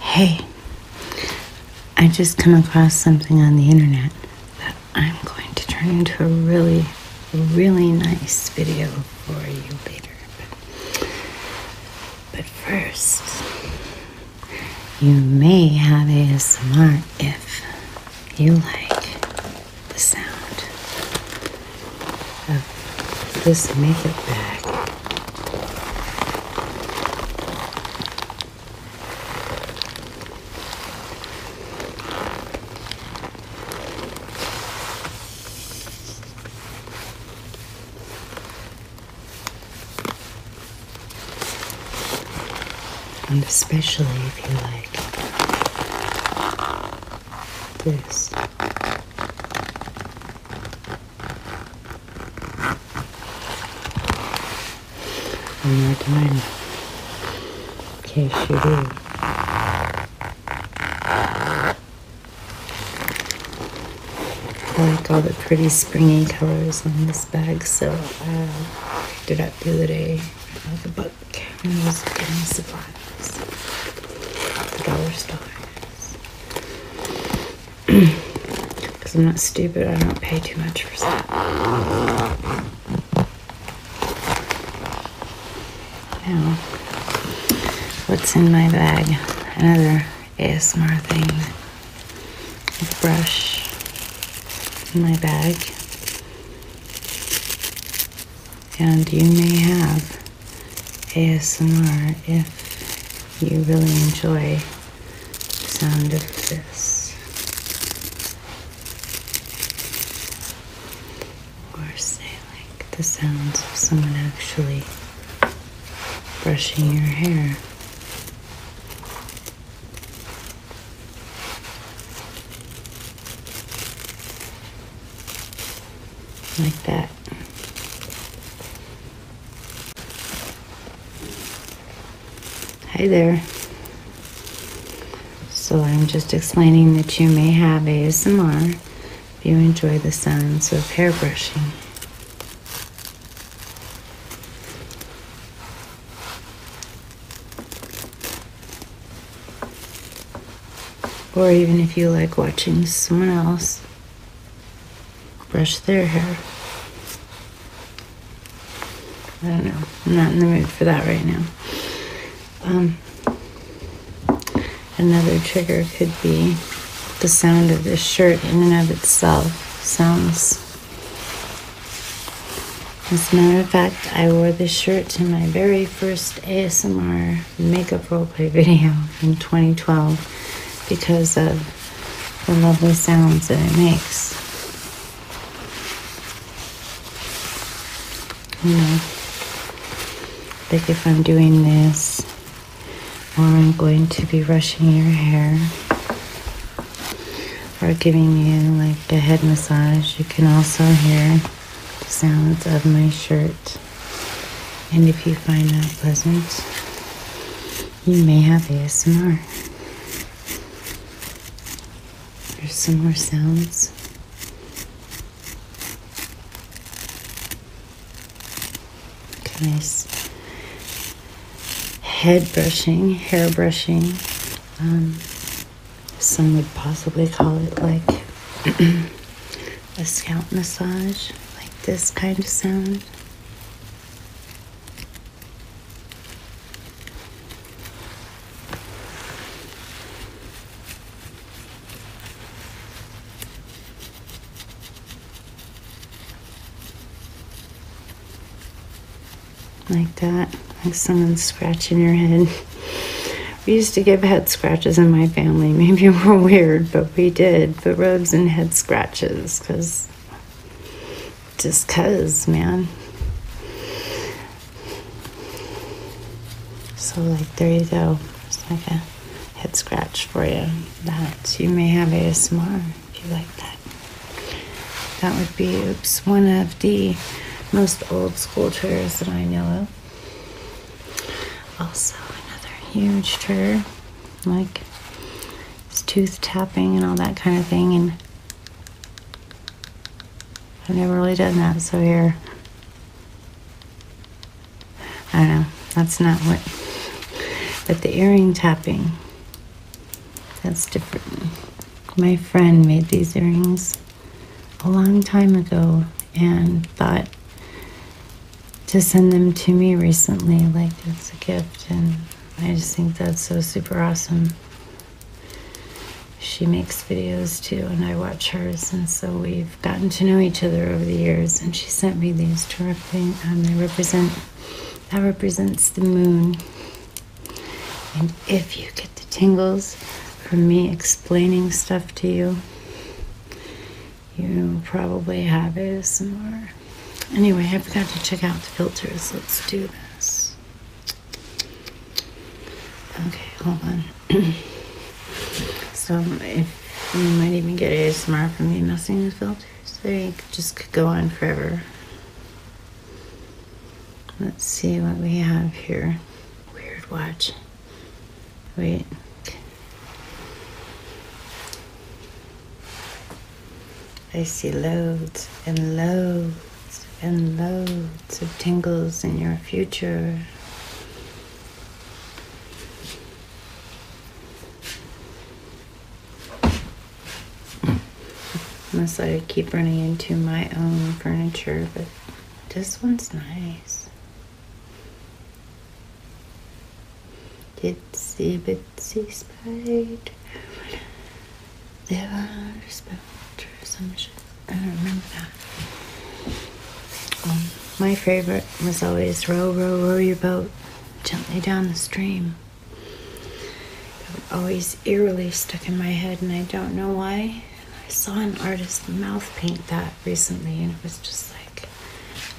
Hey, I just come across something on the internet that I'm going to turn into a really, really nice video for you later. But, first, you may have a ASMR if you like the sound of this makeup bag. And especially if you like this. One more time. Okay, you do. I like all the pretty springy colors on this bag, so uh, I did picked do the day out of the book when I was getting supplies the dollar stores. Because I'm not stupid, I don't pay too much for stuff. Now, what's in my bag? Another ASMR thing. brush in my bag. And you may have ASMR if you really enjoy the sound of this. Or say, like, the sounds of someone actually brushing your hair. Like that. Hi there. So I'm just explaining that you may have ASMR if you enjoy the sounds of hair brushing or even if you like watching someone else brush their hair. I don't know. I'm not in the mood for that right now. Um, another trigger could be the sound of this shirt in and of itself sounds. As a matter of fact, I wore this shirt to my very first ASMR makeup roleplay video in 2012 because of the lovely sounds that it makes. You know, like if I'm doing this or I'm going to be brushing your hair or giving you like the head massage, you can also hear the sounds of my shirt and if you find that pleasant, you may have ASMR some more sounds. Okay, nice head brushing, hair brushing. Um, some would possibly call it like a scalp massage, like this kind of sound. Like that, like someone scratching your head. We used to give head scratches in my family. Maybe we're weird, but we did foot rubs and head scratches because just cuz, man. So, like, there you go. It's like a head scratch for you. That you may have a ASMR if you like that. That would be, oops, one of the most old school chairs that I know of. Also, another huge trigger, like it's tooth tapping and all that kind of thing. And I've never really done that, so here. I don't know, that's not what. But the earring tapping, that's different. My friend made these earrings a long time ago and thought to send them to me recently. Like, it's a gift, and I just think that's so super awesome. She makes videos too, and I watch hers, and so we've gotten to know each other over the years. And she sent me these to represent. Um, they represent that represents the moon. And if you get the tingles from me explaining stuff to you, you probably have is somewhere. Anyway, I forgot to check out the filters. Let's do this. Okay, hold on. so if you might even get ASMR from me messing with filters. They just could go on forever. Let's see what we have here. Weird watch. Wait. I see loads and loads and loads of tingles in your future. Unless I keep running into my own furniture, but this one's nice. Itsy bitsy spider. There are spiders or some shit. I don't remember that. Um, my favorite was always row, row, row your boat gently down the stream. That always eerily stuck in my head, and I don't know why. I saw an artist mouth paint that recently, and it was just like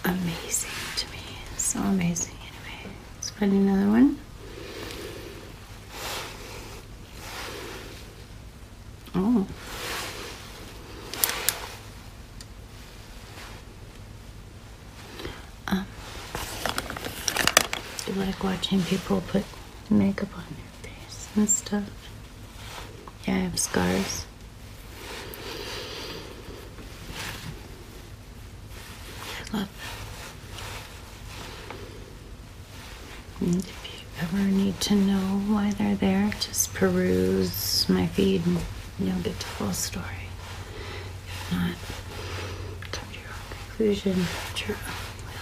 amazing to me. So amazing. Anyway, let's find another one. Oh. Um, I like watching people put makeup on their face and stuff. Yeah, I have scars if you ever need to know why they're there, just peruse my feed and you'll get the full story. If not, come to your own conclusion at your own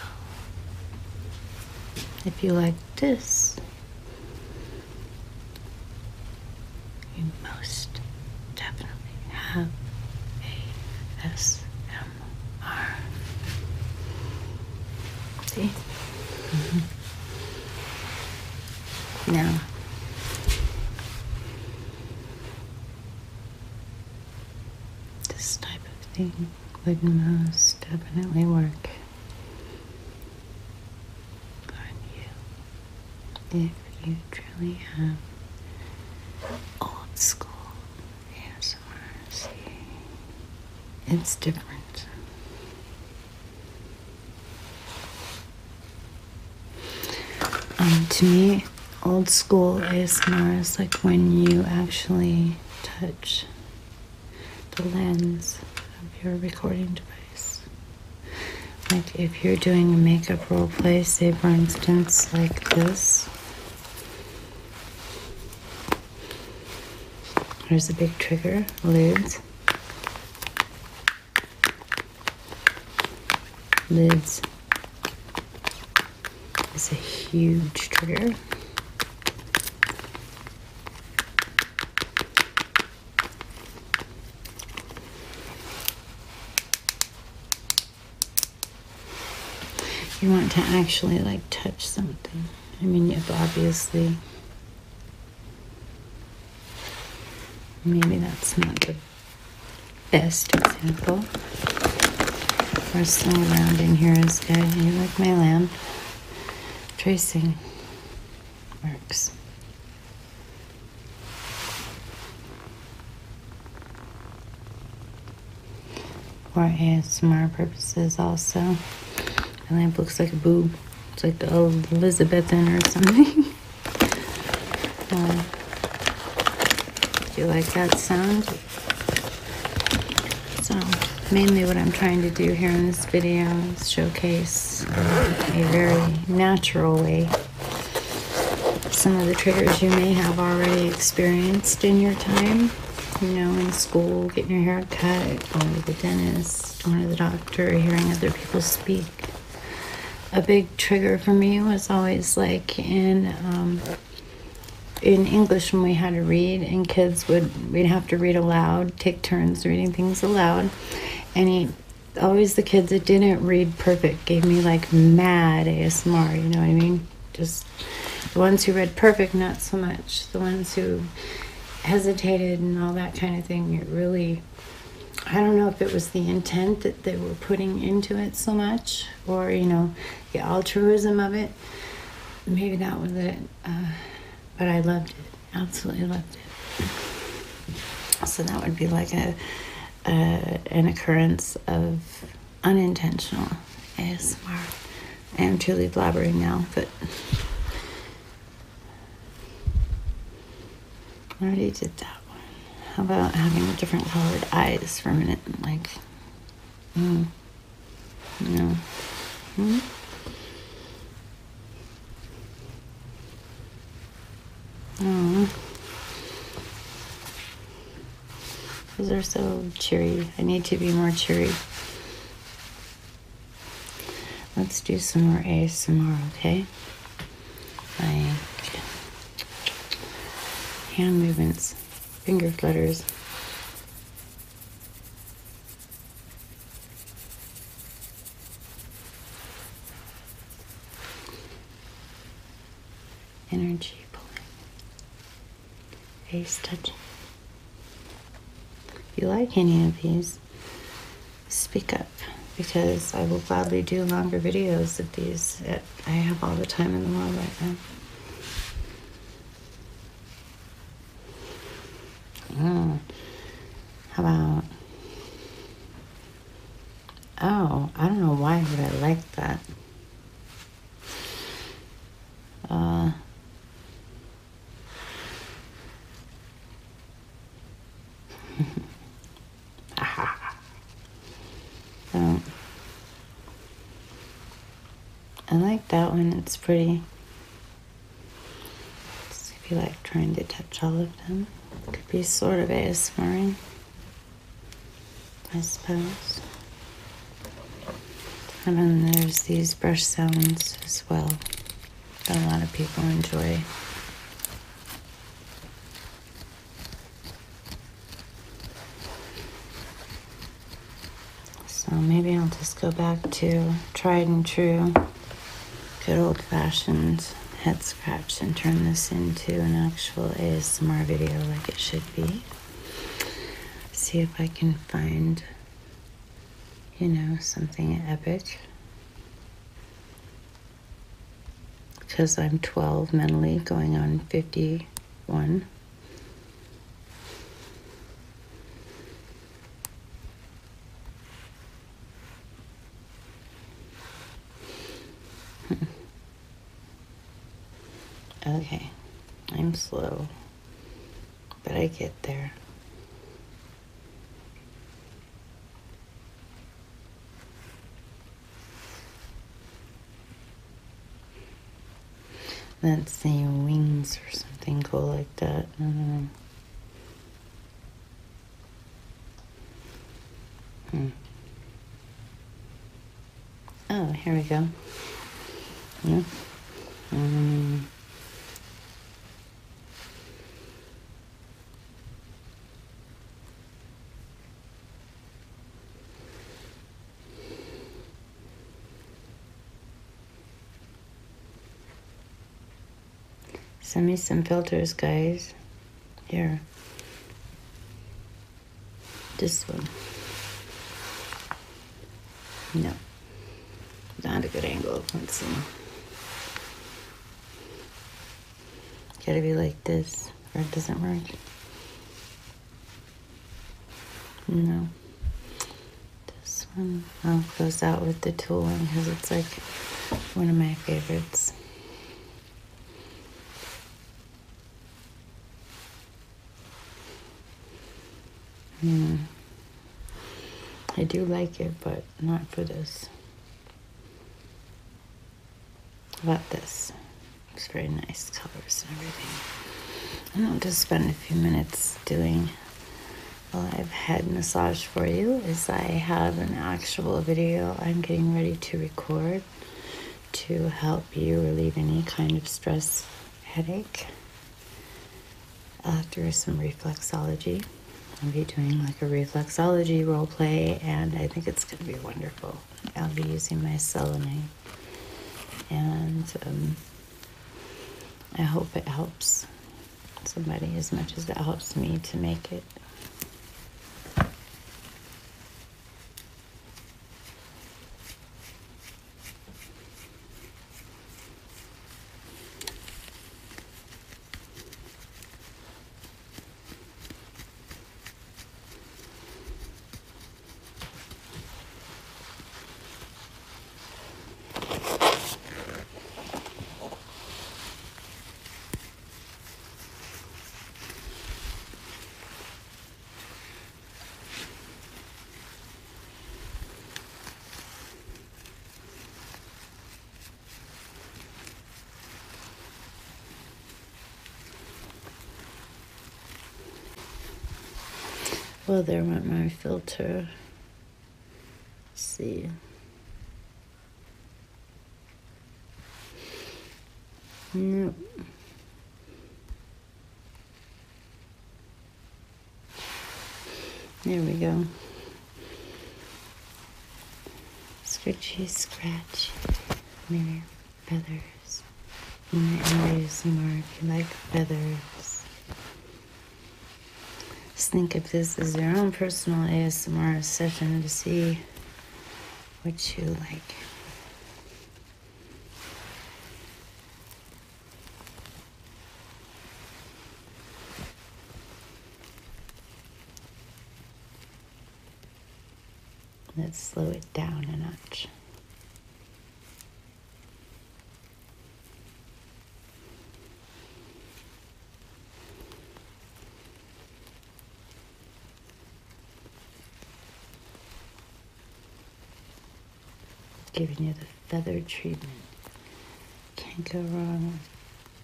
will. If you like this, you most definitely have ASMR. See? Mm-hmm. Now, this type of thing would most definitely work on you if you truly have old school ASMR. it's different. Um, to me, old school ASMR is like when you actually touch the lens of your recording device. Like if you're doing a makeup role play, say for instance, like this. There's a big trigger, lids. Lids is a huge trigger. You want to actually like touch something. I mean, if obviously, maybe that's not the best example. First thing around in here is good. You like my lamp tracing works. For ASMR purposes also. the lamp looks like a boob. It's like the Elizabethan or something. Um, do you like that sound? So mainly what I'm trying to do here in this videos showcase um, a very natural way some of the triggers you may have already experienced in your time you know in school getting your hair cut going to the dentist going to the doctor hearing other people speak a big trigger for me was always like in um, in English when we had to read, and kids would we'd have to read aloud, take turns reading things aloud, and he always the kids that didn't read perfect gave me like mad ASMR, you know what I mean? Just the ones who read perfect, not so much. The ones who hesitated and all that kind of thing, it really, I don't know if it was the intent that they were putting into it so much or, you know, the altruism of it. Maybe that was it. Uh, but I loved it, absolutely loved it. So that would be like a, an occurrence of unintentional ASMR. I am truly blabbering now, but already did that one. How about having different colored eyes for a minute? Like, mm, no. Mm. Oh. Those are so cheery. I need to be more cheery. Let's do some more A's ASMR, okay? Like hand movements, finger flutters. Energy pulling, face touching. If you like any of these, speak up because I will gladly do longer videos of these. I have all the time in the world right now. Uh, how about... Oh, I don't know why would I like that. Uh, um, I like that one. It's pretty. So if you like trying to touch all of them, could be sort of a smearing, I suppose. And then there's these brush sounds as well that a lot of people enjoy. So maybe I'll just go back to tried and true good old fashioned head scratch and turn this into an actual ASMR video like it should be. See if I can find, you know, something epic. Because I'm 12 mentally, going on 51. okay, I'm slow, but I get there. Let's say wings or something go like that. I don't know. Hmm. Oh, here we go. Yeah. Um, Send me some filters, guys. Here. This one. No. Not a good angle. Let's see. Gotta be like this, or it doesn't work. No. This one. I'll close out with the tooling because it's like one of my favorites. Mm. I do like it, but not for this. About this. It's very nice colors and everything. And I'll just spend a few minutes doing well, I've had massage for you is I have an actual video I'm getting ready to record to help you relieve any kind of stress headache uh, through some reflexology. I'll be doing like a reflexology role play and I think it's going to be wonderful. I'll be using my selenite and um, I hope it helps somebody as much as that helps me to make it. Well, there went my filter. Let's see. No. There we go. Scratchy scratch mirror feathers. And there's more if you like feathers. Just think if this is your own personal ASMR session to see what you like. Let's slow it down a notch. Giving you the feather treatment. Can't go wrong with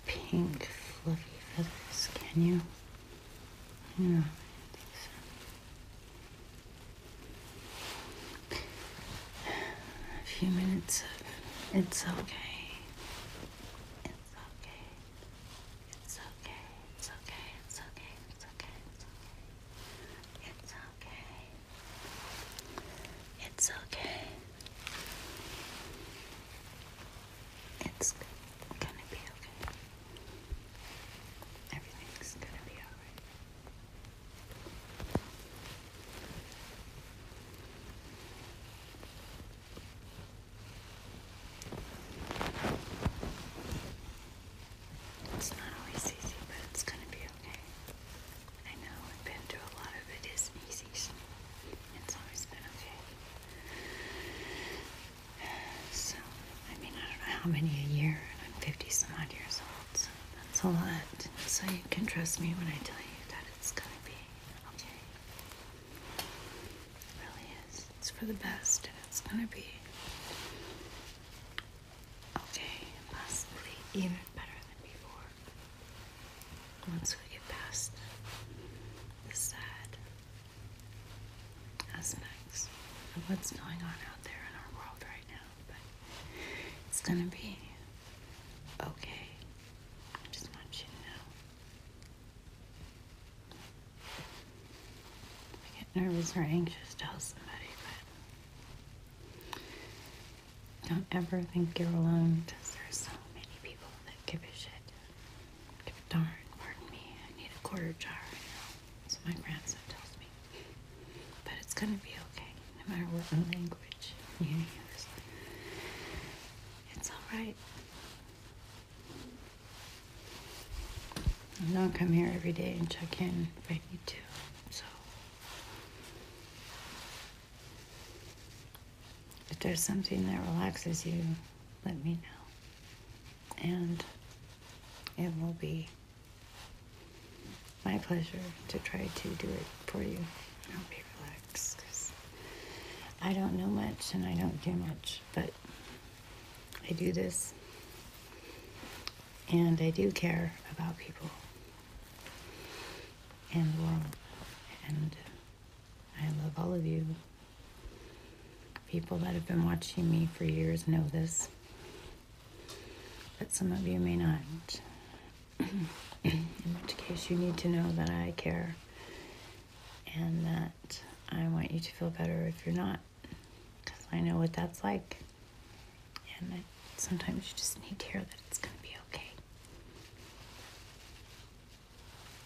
pink fluffy feathers, can you? Yeah. A few minutes of it's okay. It's okay. It's okay. It's okay. It's okay. It's okay. It's okay. It's okay. It's okay. It's gonna be okay. Everything's gonna be alright. It's not always easy, but it's gonna be okay. I know I've been through a lot of it isn't easy. It's always been okay. So, I mean, I don't know how many a year, I'm 50 some odd years old, that's a lot. So, you can trust me when I tell you that it's gonna be okay really is. It's for the best, and it's gonna be okay, possibly even better than before. Once we get past the sad aspects of what's going on out there in our world right now, but it's gonna be okay. I just want you to know I get nervous or anxious to host somebody, but don't ever think you're alone because there's so many people that give a shit. Give a darn, pardon me, I need a quarter jar, you know. So my grandson tells me. But it's gonna be okay, no matter what language you use. It's alright. I don't come here every day and check in if I need to. So if there's something that relaxes you, let me know. And it will be my pleasure to try to do it for you. I'll be because I don't know much and I don't do much, but I do this and I do care about people and the world. And I love all of you. People that have been watching me for years know this, but some of you may not. In which case, you need to know that I care and that I want you to feel better if you're not, because I know what that's like. And sometimes you just need to hear that it's going to be okay.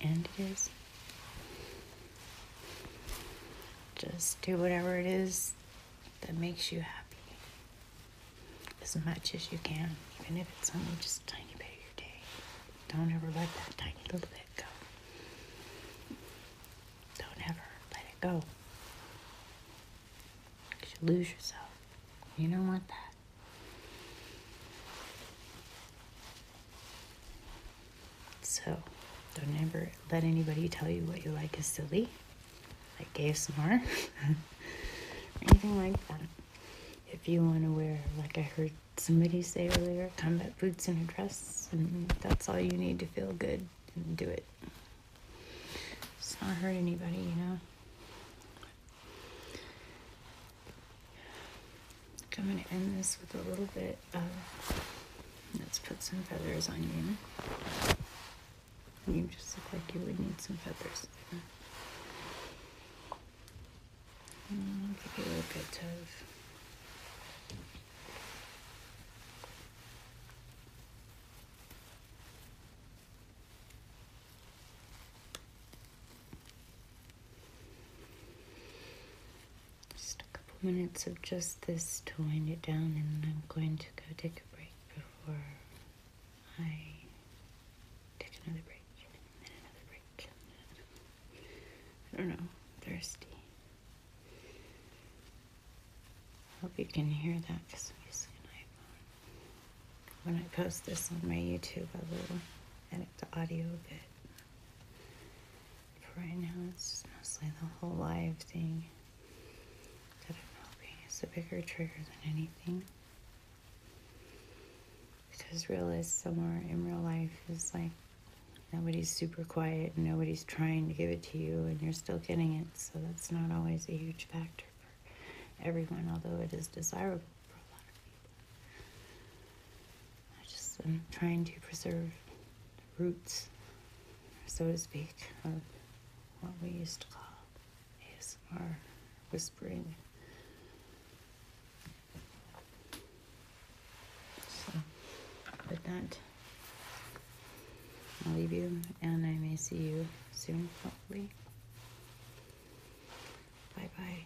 And it is. Just do whatever it is that makes you happy as much as you can, even if it's only just a tiny bit of your day. Don't ever let that tiny little bit go. Don't ever let it go. you lose yourself. You don't want that. So, don't ever let anybody tell you what you like is silly, like gay snore, or anything like that. If you want to wear, like I heard somebody say earlier, combat boots and a dress, and that's all you need to feel good and do it. It's not hurt anybody, you know. I'm going to end this with a little bit of. Let's put some feathers on you. You just look like you would need some feathers. And give it a bit of just a couple minutes of just this to wind it down, and I'm going to go take a break before I take another break and another break. I don't know, thirsty. I hope you can hear that because I'm using an iPhone. When I post this on my YouTube, I will edit the audio a bit. For right now, it's mostly the whole live thing that I'm hoping is a bigger trigger than anything because realize somewhere in real life is like nobody's super quiet and nobody's trying to give it to you and you're still getting it so that's not always a huge factor for everyone although it is desirable for a lot of people i just am trying to preserve the roots so to speak of what we used to call is our whispering so, with that, I'll leave you and I may see you soon, hopefully. Bye bye.